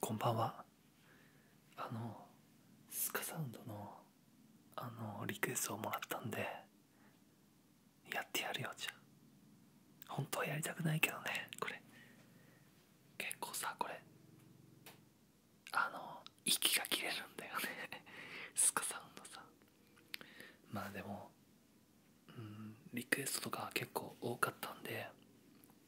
こんばんはあのスカサウンドのあのリクエストをもらったんでやってやるよじゃあ本当はやりたくないけどねこれ結構さこれあの息が切れるんだよね スカサウンドさまあでもうんリクエストとか結構多かったんで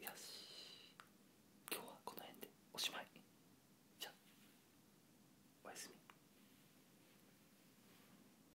よし今日はこの辺でおしまいじゃあおやすみ